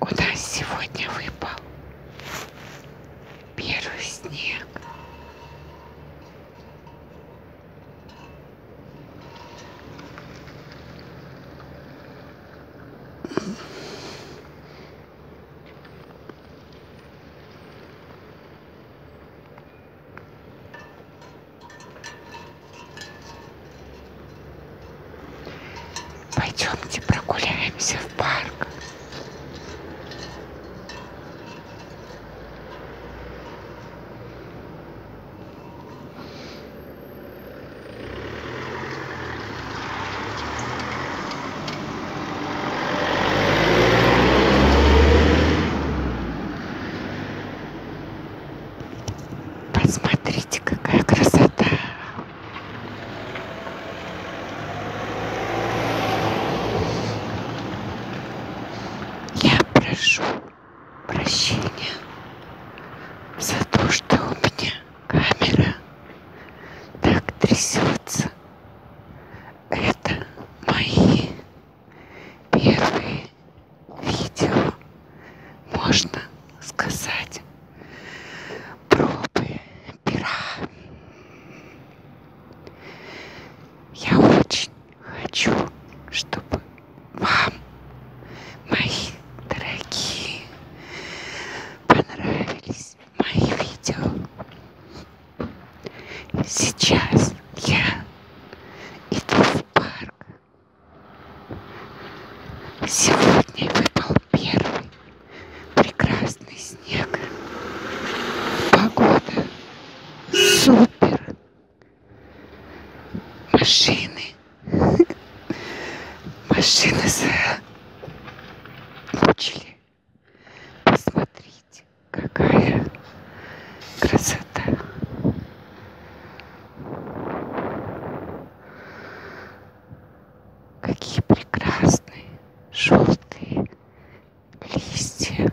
У нас сегодня выпал первый снег. Пойдемте прогуляемся в парк. Посмотрите, какая красота! Я прошу прощения за то, что у меня камера так трясется. Это мои первые видео можно сказать пробы пера. Я очень хочу, чтобы вам, мои дорогие, понравились мои видео. Сейчас я иду в парк Сегодня выпал первый прекрасный снег. Погода супер. Машины. Машины заучили. Э, Посмотрите, какая красота. Какие прекрасные желтые листья.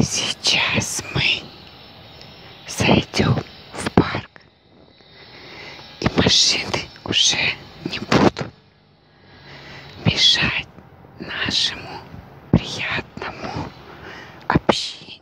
Сейчас мы Зайдем в парк, и машины уже не будут мешать нашему приятному общению.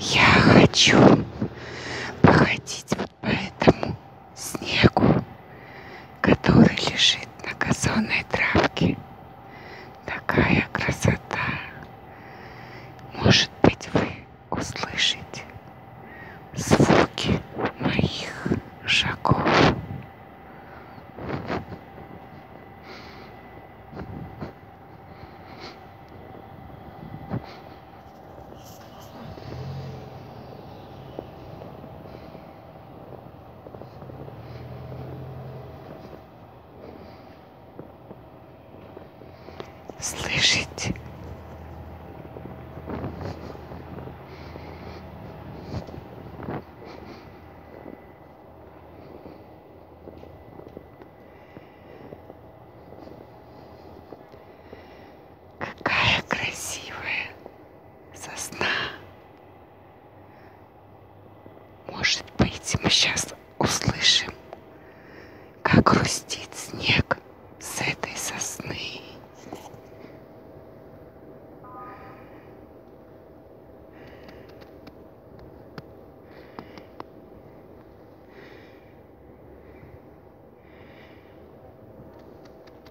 Я хочу походить вот по этому снегу который лежит на газонной травке. Такая красота. Может быть, вы услышите звуки моих шагов. Слышите? Какая красивая сосна. Может быть, мы сейчас услышим, как грустит снег с этой сосны.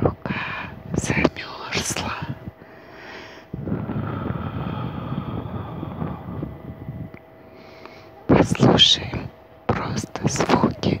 Рука замерзла. Послушаем просто звуки.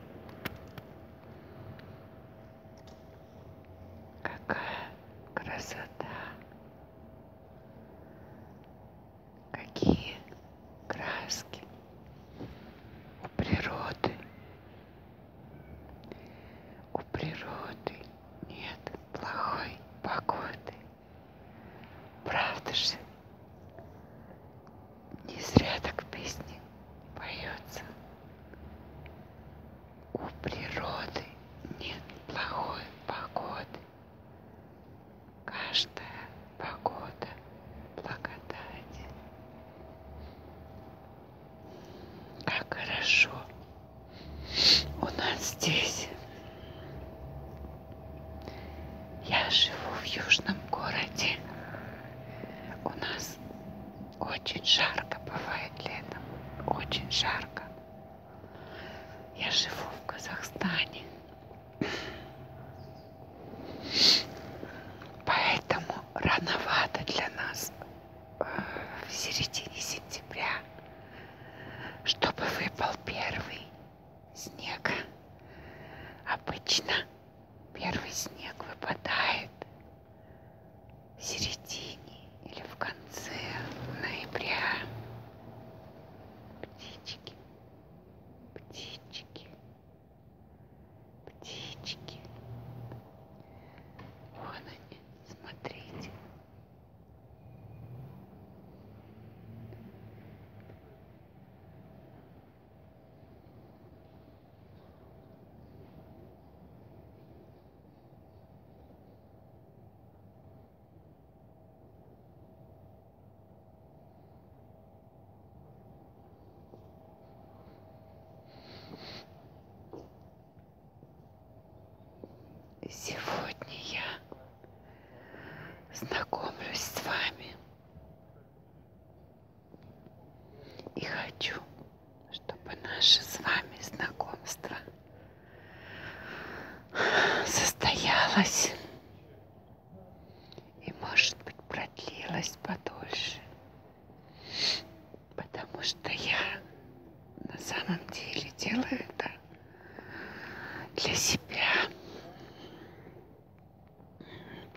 Какая красота! Какие краски у природы! У природы нет плохой погоды. Правда же? Не зря так песни поется. У природы нет плохой погоды. Каждая погода благодати. Как хорошо у нас здесь. Я живу в южном городе. У нас очень жарко бывает летом. Очень жарко. Я живу в Казахстане. Поэтому рановато для нас э, в середине сентября, чтобы выпал первый снег. Обычно Первый снег выпадает в середине или в конце ноября. Птички, птички, птички. Вон они, смотрите. Сегодня я знакомлюсь с вами. И хочу, чтобы наше с вами знакомство состоялось и, может быть, продлилось подольше, потому что я на самом деле делаю это для себя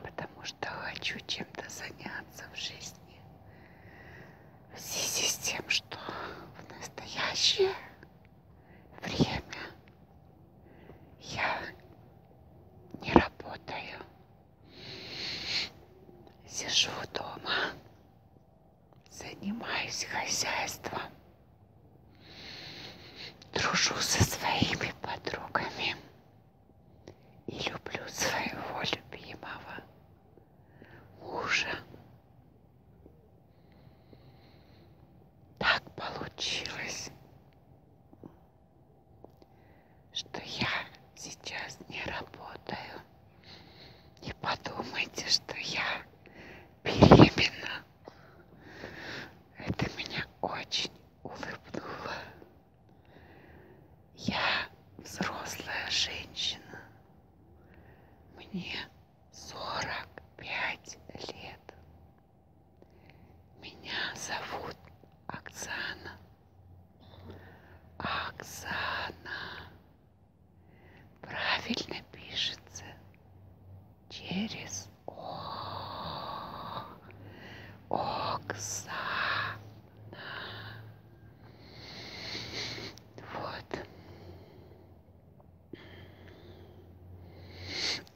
потому что хочу чем-то заняться в жизни в связи с тем, что в настоящее время я не работаю. Сижу дома, занимаюсь хозяйством. Дружу со своими подругами и люблю своего любимого мужа. Так получилось, что я сейчас не работаю. Не подумайте, что я беременна. Это меня очень улыбнуло. Я взрослая женщина. Мне 45 лет. Меня зовут Оксана. Оксана. Правильно пишется. Через о, Оксана. Вот.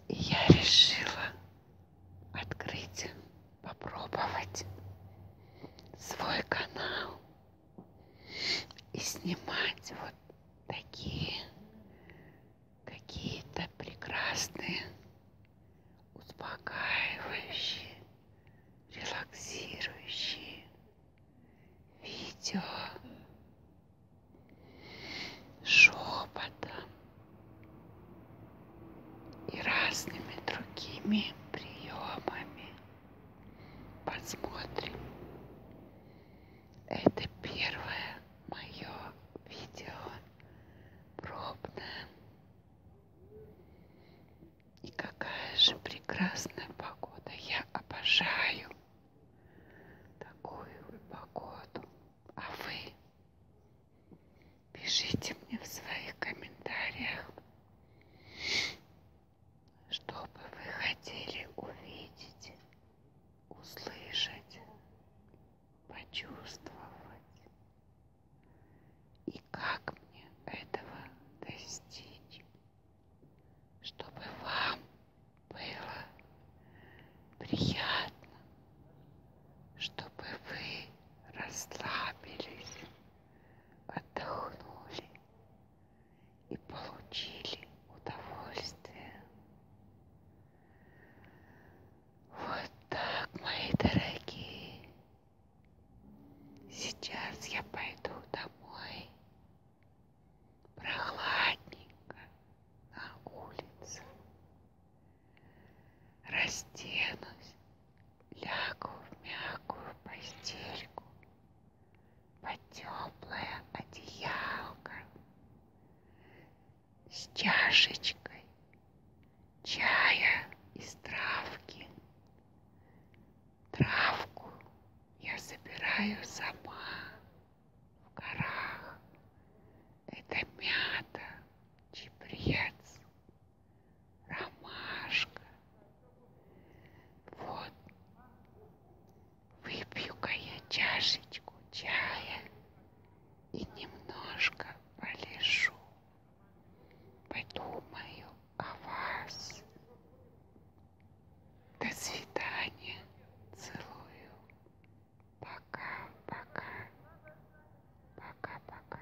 И я решила открыть, попробовать свой канал и снимать вот такие какие-то прекрасные, успокаивающие, релаксирующие видео шепотом и разными другими приемами. Посмотрим. Это первое мое видео пробное. И какая же прекрасная погода. Я обожаю такую погоду. А вы пишите мне в своих комментариях, что бы вы хотели увидеть услышать, почувствовать и как мне этого достичь, чтобы вам было приятно, чтобы вы расслабились, отдохнули и получили удовольствие. Вот так, мои дорогие. Сейчас я пойду домой. Прохладненько на улице. Растянусь, лягу в мягкую постельку под теплое одеялко с чашечкой чая из травки. Травку я собираю сама в горах. Это мята, чебрец, ромашка. Вот Выпью-ка я чашечку чая и немножко полежу. Подумаю о вас. До свидания. Целую. Пока-пока. Пока-пока.